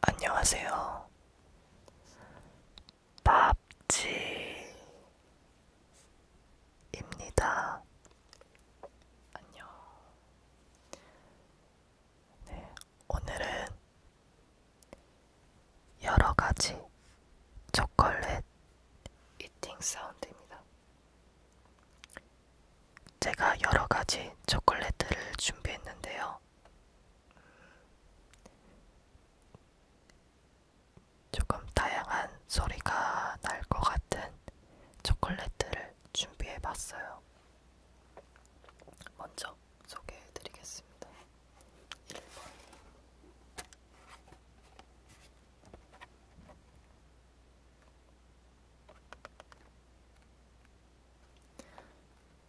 안녕하세요. 밥지입니다. 안녕. 네, 오늘은 여러 가지 초콜릿 이팅 사운드입니다. 제가 여러 가지 초콜릿들을 준비했는데요. 조금 다양한 소리가 날 것 같은 초콜릿들을 준비해 봤어요. 먼저 소개해 드리겠습니다. 1번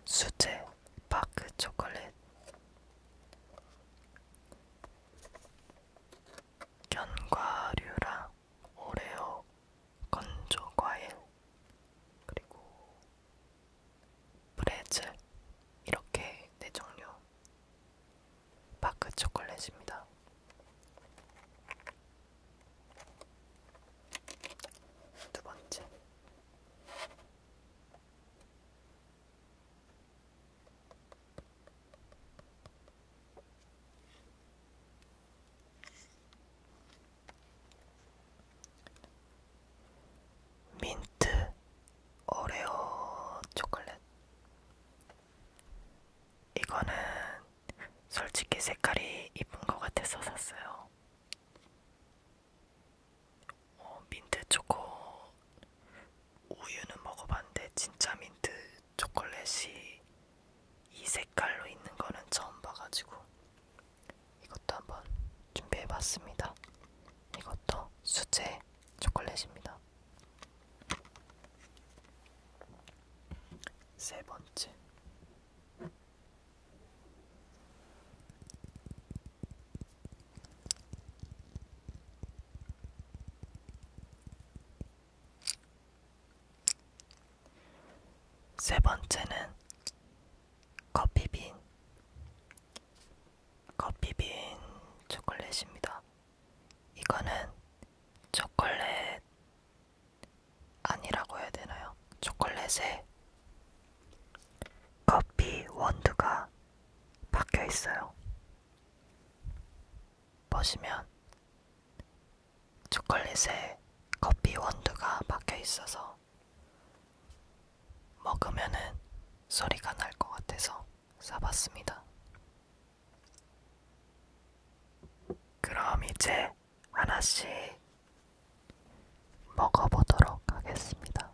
수제 파크 초콜릿 견과류랑 오레오 건조 과일 그리고 브레즐 이렇게 네 종류 바크 초콜릿입니다. 두 번째. 민트 오레오 초콜릿 이거는 솔직히 색깔이 이쁜 것 같아서 샀어요. 어, 민트 초코 우유는 먹어봤는데 진짜 민트 초콜릿이 이 색깔로 있는 거는 처음 봐가지고 이것도 한번 준비해봤습니다. 이것도 수제 초콜릿입니다. 세 번째. 세 번째는 커피빈, 커피빈 초콜릿입니다. 이거는 초콜릿 아니라고 해야 되나요? 초콜릿에 커피 원두가 박혀 있어요. 보시면 초콜릿에 커피 원두가 박혀 있어서 먹으면은 소리가 날 것 같아서 사봤습니다. 그럼 이제 하나씩 먹어보도록 하겠습니다.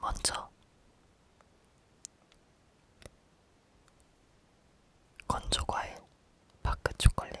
먼저 건조 과일, 바크 초콜릿.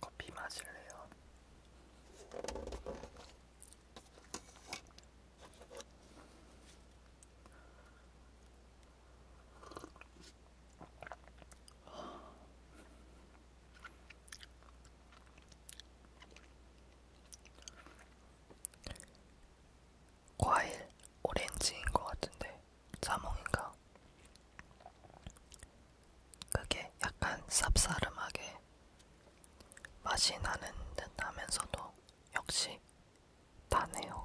커피 마실래요? 과일 오렌지인 것 같은데 자몽인가? 그게 약간 쌉싸름하게 맛이 나는 듯 하면서도 역시 다네요.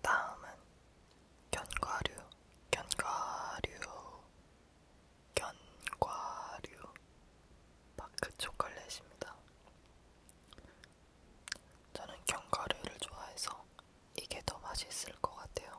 다음은 견과류, 견과류, 견과류, 바크 초콜릿입니다. 저는 견과류를 좋아해서 이게 더 맛있을 것 같아요.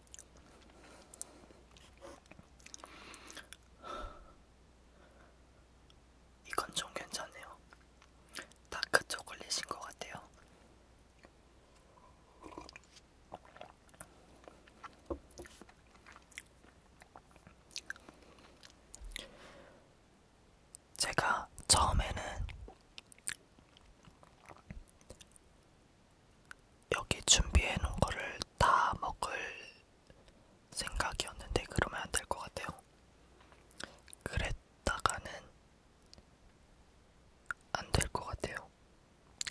이건 좀 괜찮네요. 다크 초콜릿인 것 같아요. 제가 처음에는 여기 준비해 놓은 거를 다 먹을 생각이었는데 그러면 안 될 것 같아요. 그랬다가는 안 될 것 같아요.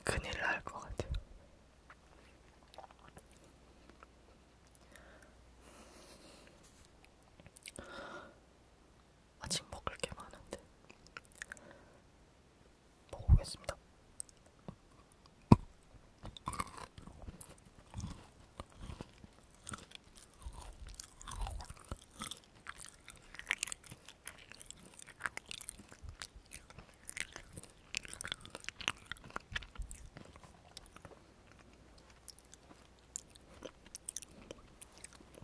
큰일 날 것 같아요. 아직 먹을 게 많은데 먹어보겠습니다.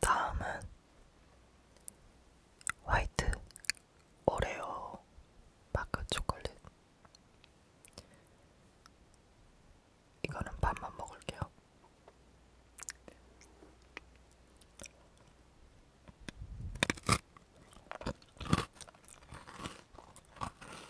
다음은 화이트 오레오 마크 초콜릿. 이거는 밥만 먹을게요.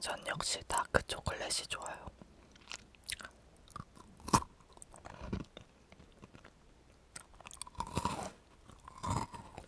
전 역시 다크 그 초콜릿이 좋아요.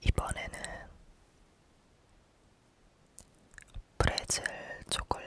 이번에는 브레즐 초콜릿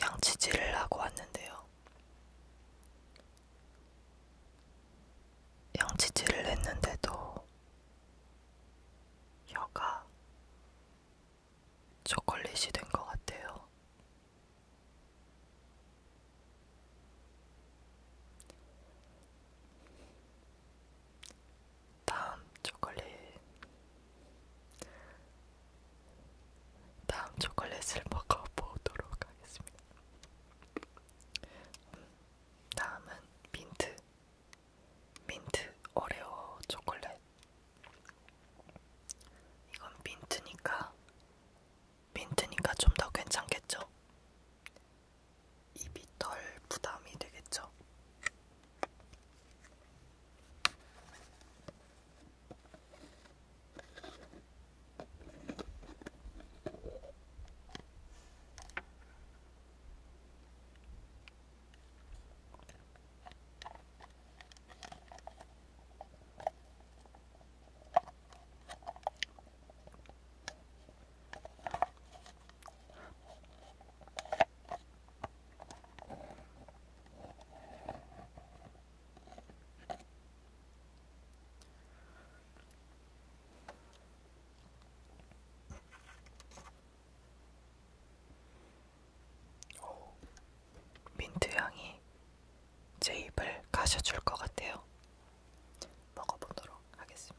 양치질을 하고 왔는데요. 양치질을 했는데도 혀가 초콜릿이 된 것 같아요. 다음 초콜릿 다음 초콜릿을 먹어보도록 하겠습니다. 다음은 민트 민트 오레오 초콜릿 이건 민트니까 민트니까 좀 더 괜찮겠죠? 입이 덜 부담이 되겠죠? 민트 향이 제 입을 가셔줄 것 같아요. 먹어보도록 하겠습니다.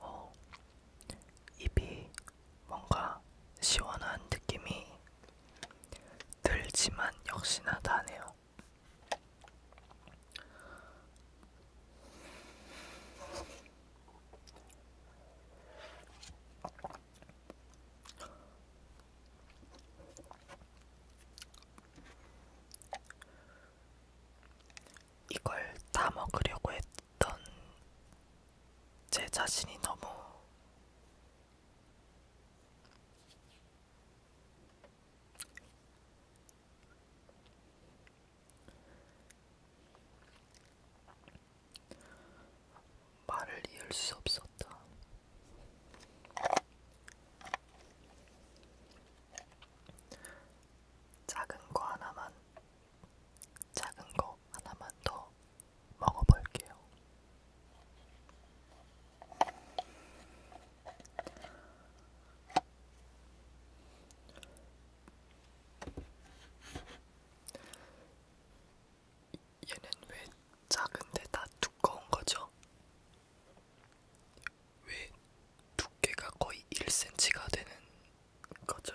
어, 입이 뭔가 시원한 느낌이 들지만 역시나 다네요. 이걸 다 먹으려고 했던 제 자신이 너무 말을 이을 수 없었다. 작은 거 하나만, 작은 거 하나만 더 먹어볼게요. 얘는 왜 작은데 다 두꺼운 거죠? 왜 두께가 거의 1cm가 되는 거죠?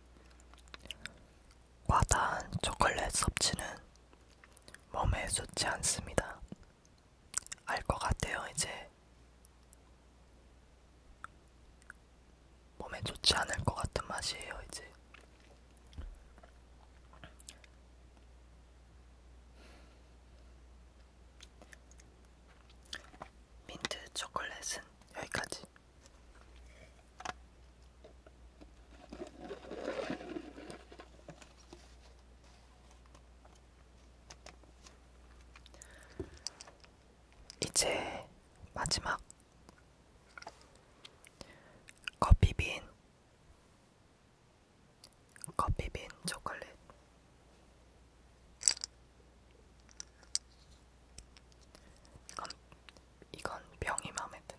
과다한 초콜릿 섭취는 몸에 좋지 않습니다. 알 것 같아요, 이제. 몸에 좋지 않을 것 같은 맛이에요, 이제. 민트 초콜릿은 여기까지. 이제 마지막 커피빈 커피빈 초콜릿 이건 이건 병이 마음에 드네요.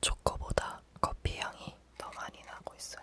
초코보다 커피 향이 더 많이 나고 있어요.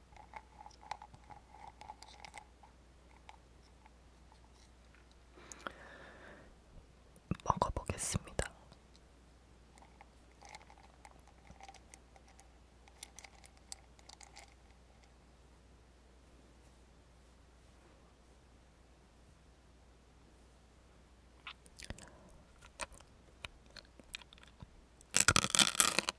먹어보겠습니다.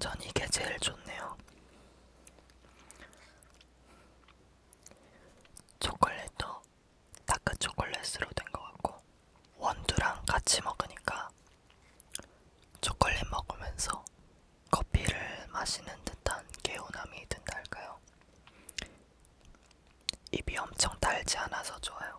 전 이게 제일 좋네요. 초콜릿도 다크 초콜릿으로 된 것 같고 원두랑 같이 먹으니까 초콜릿 먹으면서 커피를 마시는 듯한 개운함이 든달까요? 입이 엄청 달지 않아서 좋아요.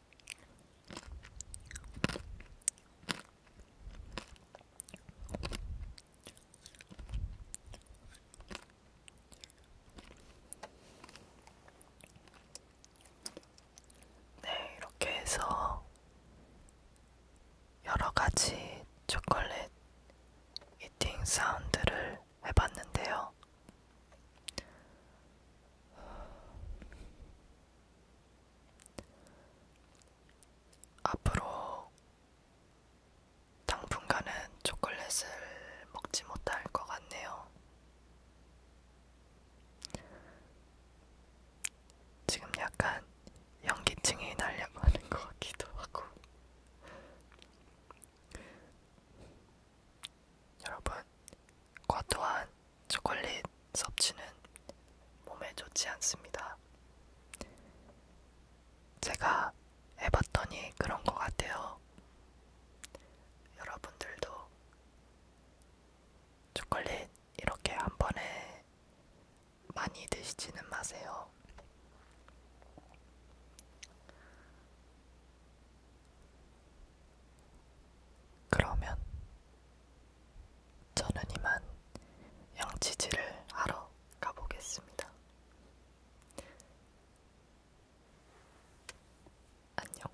네, 이렇게 해서 여러 가지 초콜릿 이팅 사운드를 해봤는데요. 앞으로 당분간은 초콜릿을 먹지 못할 것 같네요. 지금 약간 연기증이 날려고 하는 것 같기도 하고. 여러분, 과도한 초콜릿 섭취는 몸에 좋지 않습니다. 제가 해봤더니 그런 것 같아요. 여러분들도 초콜릿 이렇게 한 번에 많이 드시지는 마세요. 그러면 저는 이만 양치질을 하러 가보겠습니다. 안녕.